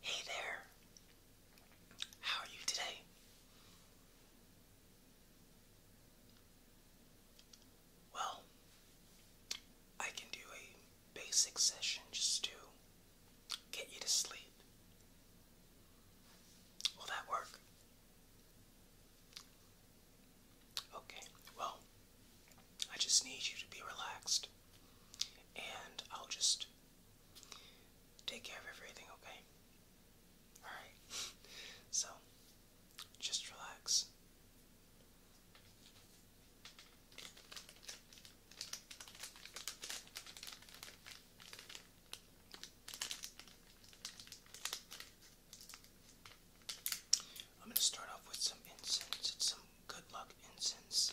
Hey there. How are you today? Well, I can do a basic session just to get you to sleep. Will that work? Okay, well, I just need you to be relaxed. And I'll just take care of everything, okay? Alright. So, just relax. I'm going to start off with some incense. It's some good luck incense.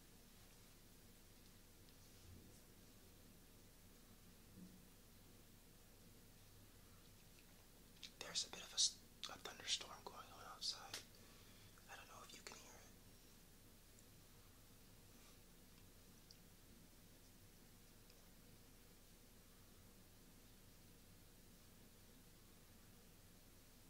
There's a bit of a, thunderstorm going on outside. I don't know if you can hear it.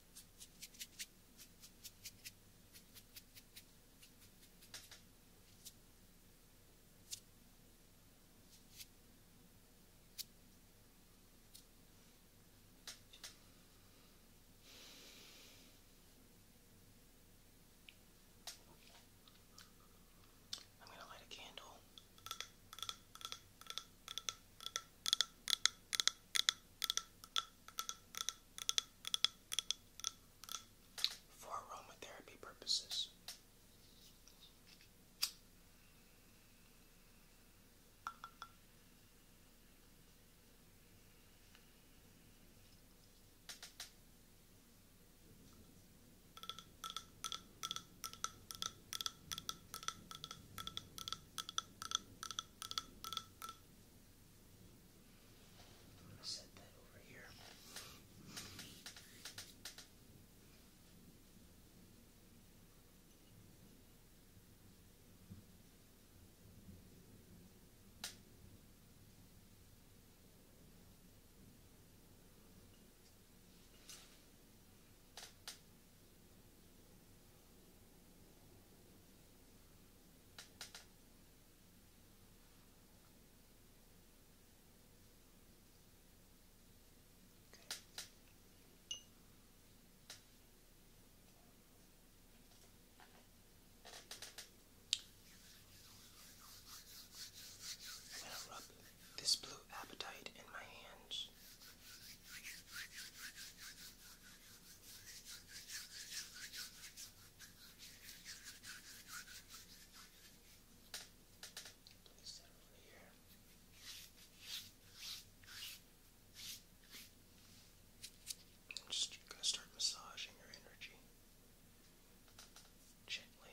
I'm going to light a candle for aromatherapy purposes. I'm going to set that over here. I'm going to rub this blue appetite in my hands. Place that over here. I'm just gonna start massaging your energy gently.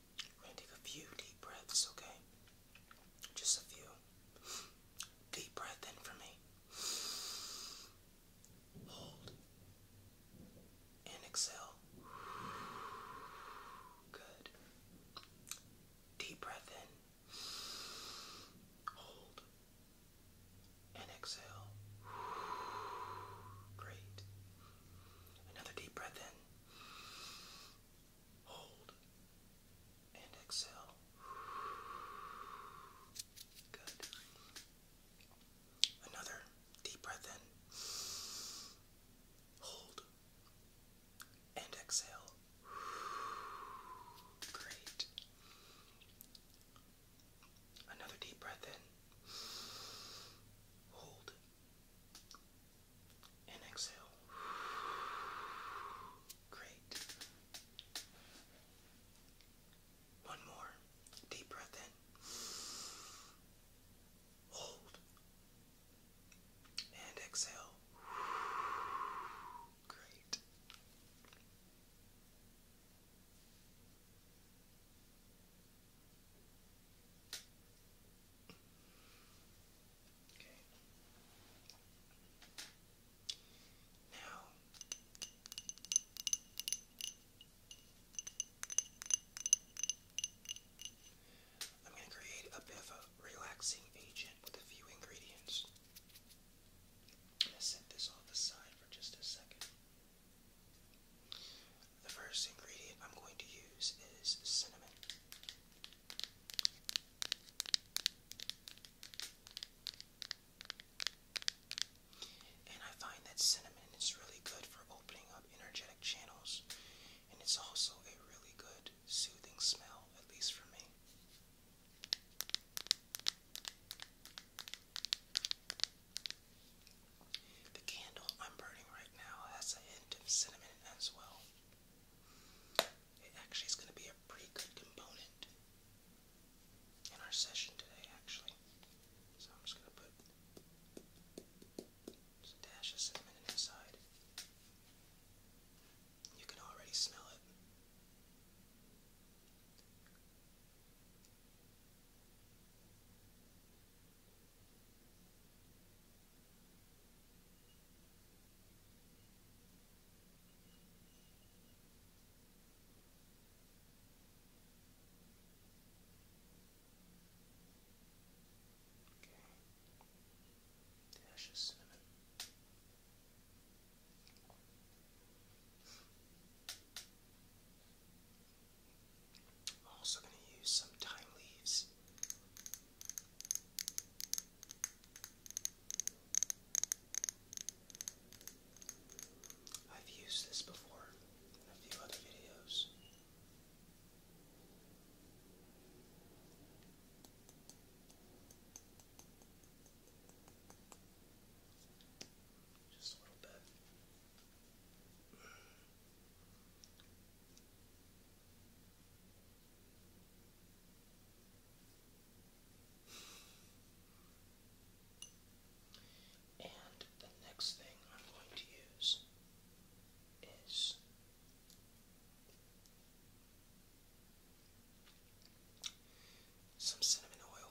We're gonna take a few deep breaths, okay? Just a few. Deep breath in for me. Hold. And exhale. Good. Deep breath in. Hold. And exhale. Great. Another deep breath in. Hold and exhale. Good. Another deep breath in. Hold and exhale. Great. Another deep breath in. Hold and exhale. Great. One more. Deep breath in. Hold. And exhale. Great. Okay. Now I'm going to create a bit of a relaxing agent with a few ingredients. I'm going to set this off aside for just a second. The first ingredient I'm going to use is cinnamon. And I find that cinnamon is really good for opening up energetic channels, and it's also a really good soothing smell, at least for me. The candle I'm burning right now has a hint of cinnamon as well. It actually is going to be a pretty good component in our session today, actually. So I'm just going to put a dash of cinnamon in You can already smell it. Okay. Dash of cinnamon. I'm also going to use some thyme leaves. I've used this before in a few other videos. Just a little bit. And the next thing I'm going to use is some cinnamon oil.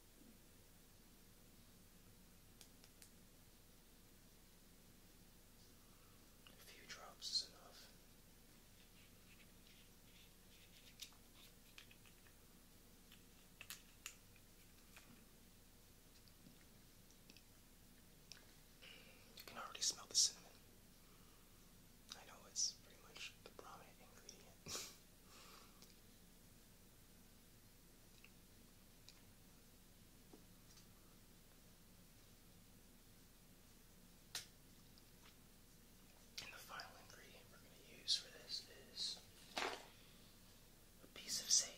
A few drops is enough. You can already smell the cinnamon. I know it's pretty much the prominent ingredient. And the final ingredient we're going to use for this is a piece of sage.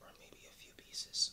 Or maybe a few pieces.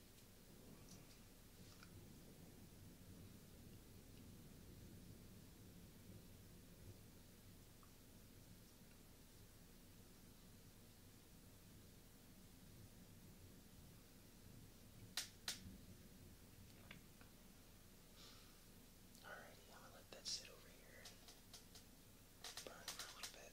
Alrighty, I'm gonna let that sit over here and burn for a little bit.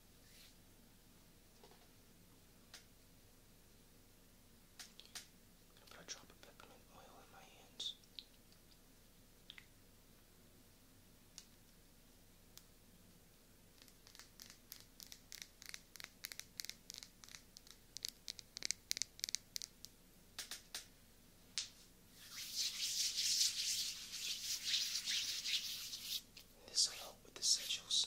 I'm gonna put a drop of peppermint oil in my hands. This will with the sigils.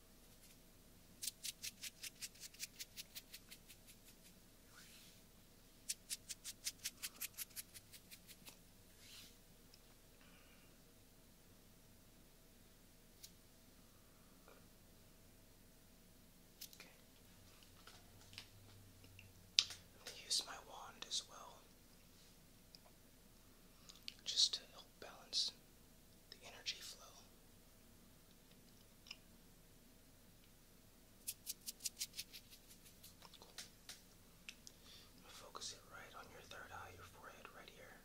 Okay. i use my wand as well, just to help balance the energy flow Focus it right on your third eye, your forehead, right here.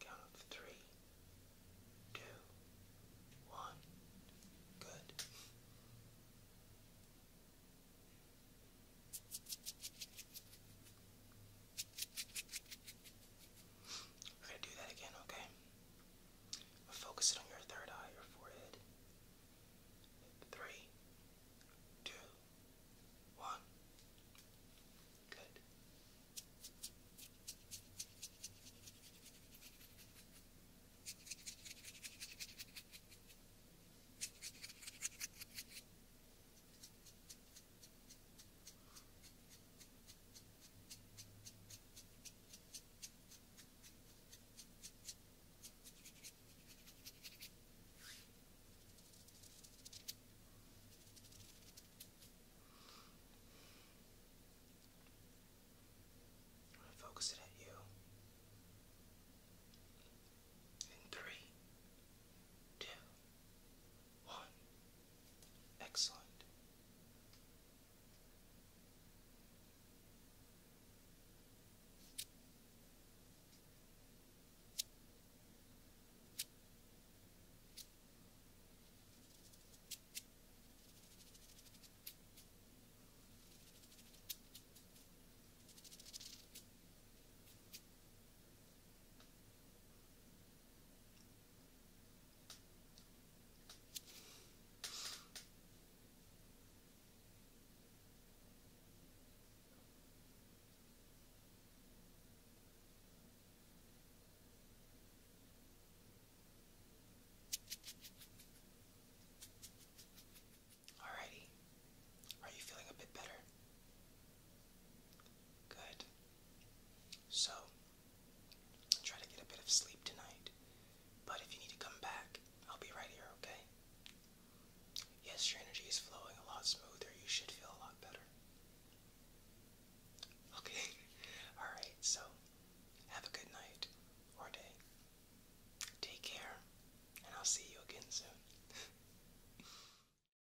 Count of three, two, one. Good. I'm gonna do that again, okay? focus it on your third eye, your forehead. Three, two, one. Good. I'm gonna focus it at you. In three, two, one. Excellent. Alrighty. Are you feeling a bit better? Good. So, try to get a bit of sleep tonight. But if you need to come back, I'll be right here, okay? Yes, your energy is flowing a lot smoother. You should feel a lot better. Okay, alright, so have a good night or day. Take care, and I'll see you again soon.